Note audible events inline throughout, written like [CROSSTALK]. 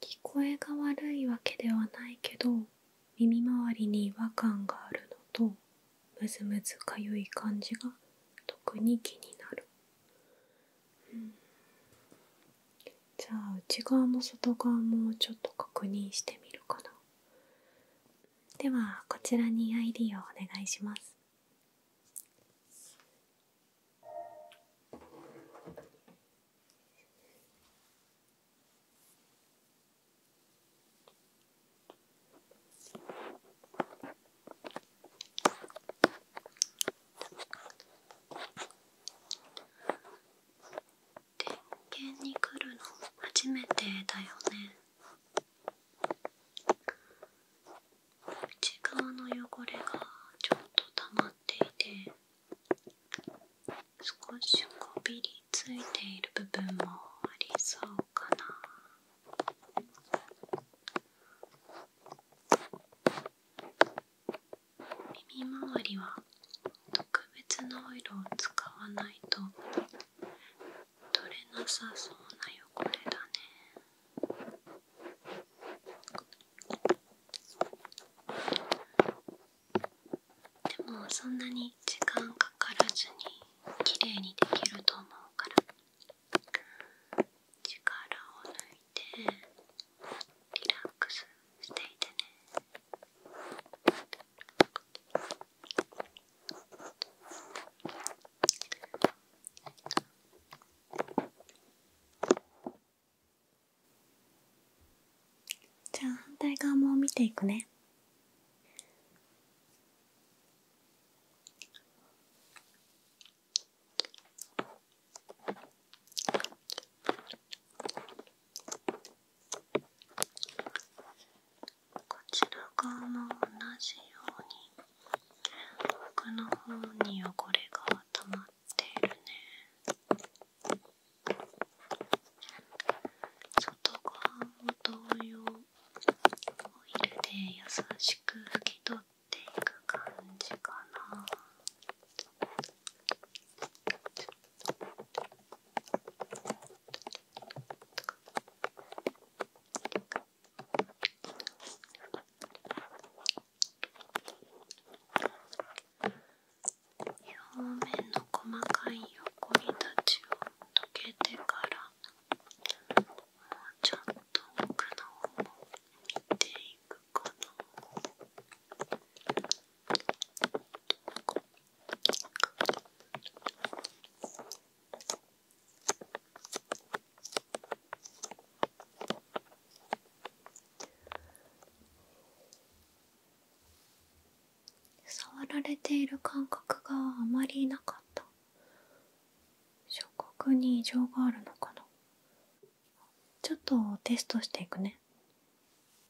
聞こえが悪いわけではないけど耳周りに違和感があるのとムズムズかゆい感じが特に気になる、うん、じゃあ内側も外側もちょっと確認してみるかなではこちらに ID をお願いします点検に来るの初めてだよね内側の汚れがちょっと溜まっていて少しこびりついている部分もありそうかな耳周りは特別なオイルを使わないと取れなさそうな汚れだねでもそんなに時間かからずに綺麗にできると思うから力を抜いてリラックスしていてね。じゃあ反対側も見ていくねこちら側も同じように奥の方に汚れが溜まっているね外側も同様オイルで優しく拭き取っていく感じかな。表面の細かい横に立ちを溶けてからもうちょっと奥の方も見ていくかな。か。触られている感覚があまりなかった触覚に異常があるのかなちょっとテストしていくね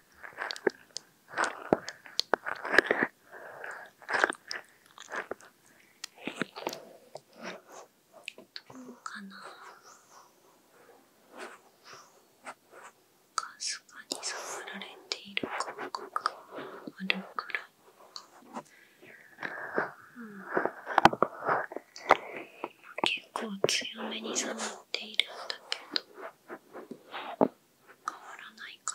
どうかなかすかに触られている感覚があるくらい、うん、構強めに触っているんだけど変わらないか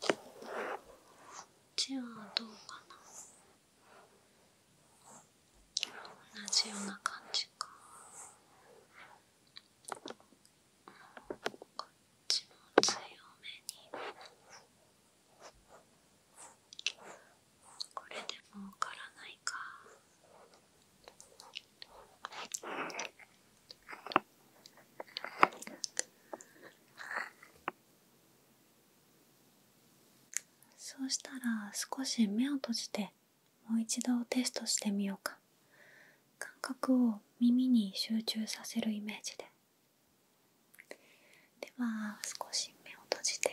こっちはどうかな同じような感じかこっちも強めにこれでもわからないかそうしたら少し目を閉じてもう一度テストしてみようか感覚を耳に集中させるイメージででは少し目を閉じて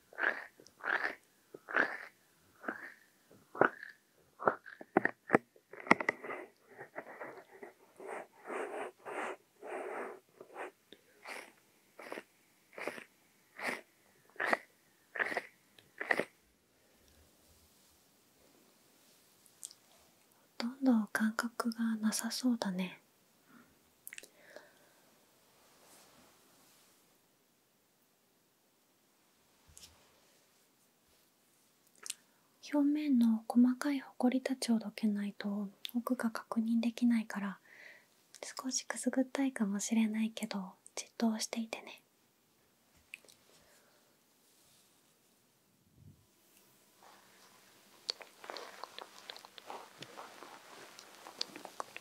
ほとんど感覚がなさそうだね表面の細かいほこりたちをどけないと奥が確認できないから少しくすぐったいかもしれないけどじっとしていてね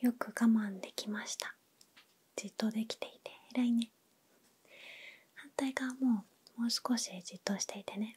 よく我慢できましたじっとできていて偉いね反対側ももう少しじっとしていてね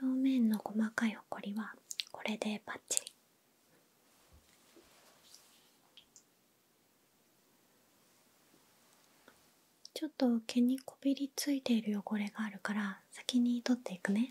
表面の細かいほこりはこれでバッチリちょっと毛にこびりついている汚れがあるから先に取っていくね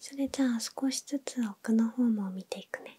それじゃあ少しずつ奥の方も見ていくね。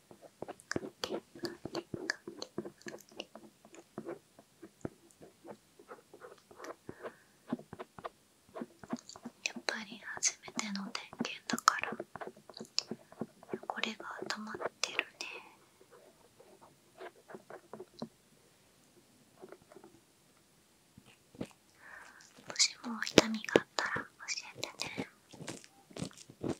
やっぱり初めての点検だから汚れが溜まってるねもしも痛みがあったら教えてね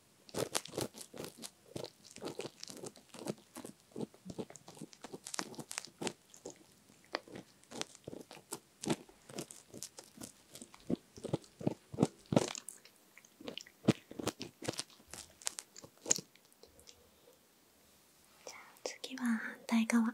じゃあ次は反対側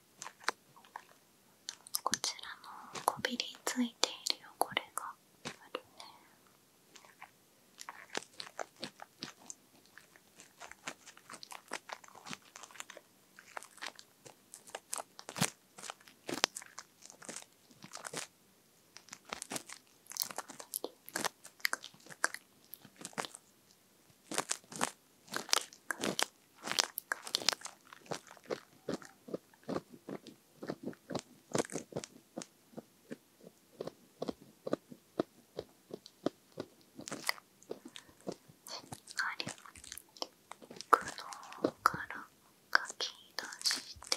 こちらのこびりついている汚れがあるねくのからかき出して。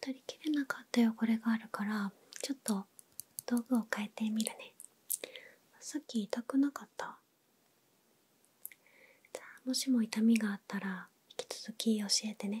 取りきれなかった汚れがあるからちょっと道具を変えてみるねさっき痛くなかったじゃあもしも痛みがあったら引き続き教えてね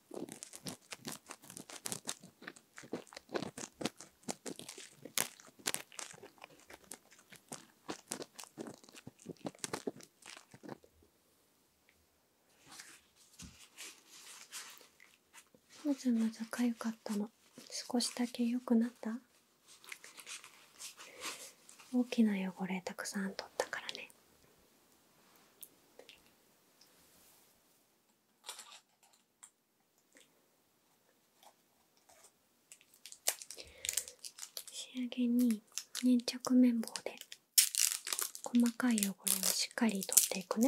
もちゃんのじゃかゆかったの少しだけ良くなった大きな汚れたくさん取ったからね仕上げに粘着綿棒で細かい汚れをしっかり取っていくね。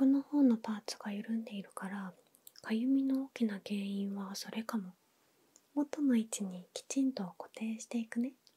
奥の方のパーツが緩んでいるからかゆみの大きな原因はそれかも元の位置にきちんと固定していくね。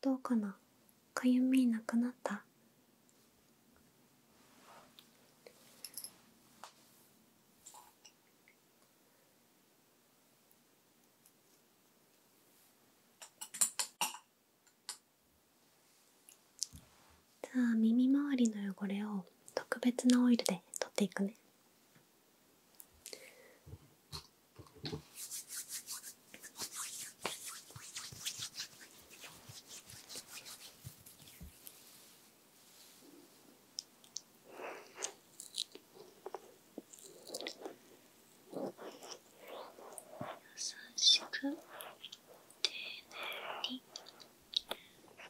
どうかなかゆみなくなった [LAUGHS] じゃあ耳周りの汚れを特別なオイルで取っていくね優しく丁寧に。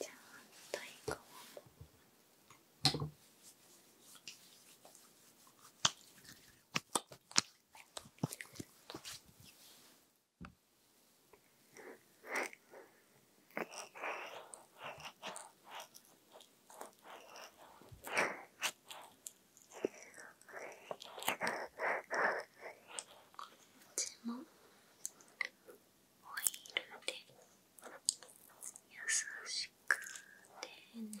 じゃあ反いこっちもオイルで優しく丁寧に。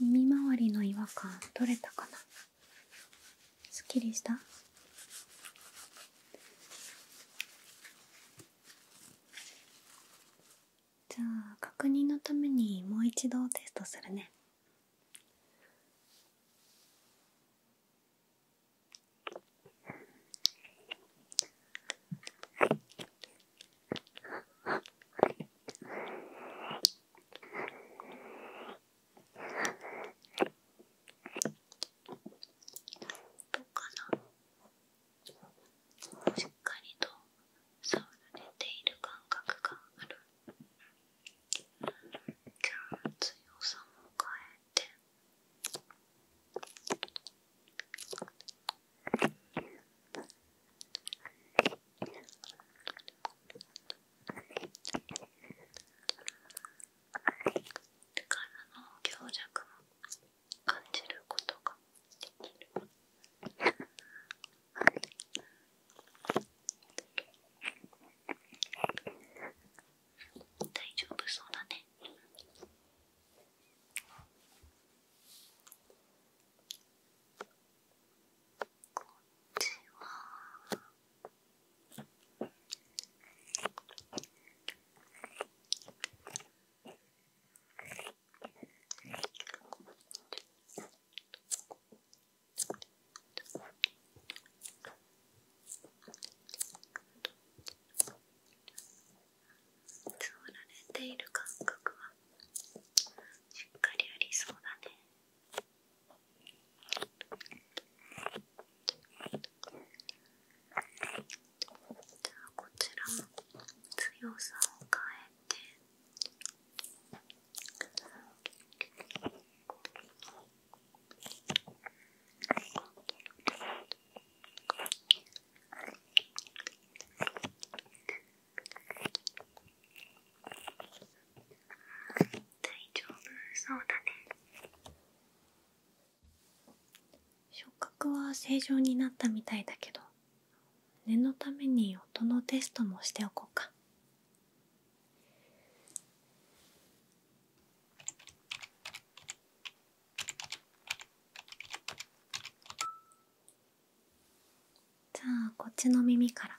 耳周りの違和感取れたかなすっきりしたじゃあ確認のためにもう一度テストするねどうかなしっかりと触られている感覚がある強さも変えて力の強弱も感じることができる。大丈夫そうだね。こっちは。つられている感覚はしっかりありそうだね。じゃあこちらも強さを変えて大丈夫そうだね。触覚は正常になったみたいだけど念のために音のテストもしておこうかじゃあこっちの耳から。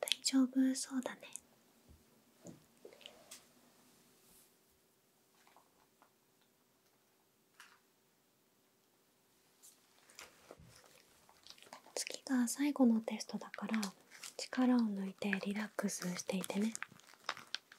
大丈夫そうだね次が最後のテストだから力を抜いてリラックスしていてね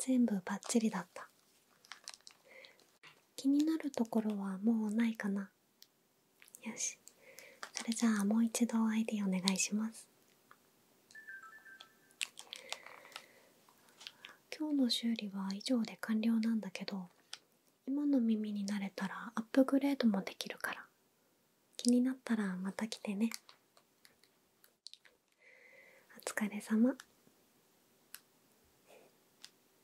全部バッチリだった気になるところはもうないかなよしそれじゃあもう一度 ID お願いします今日の修理は以上で完了なんだけど今の耳になれたらアップグレードもできるから気になったらまた来てねお疲れ様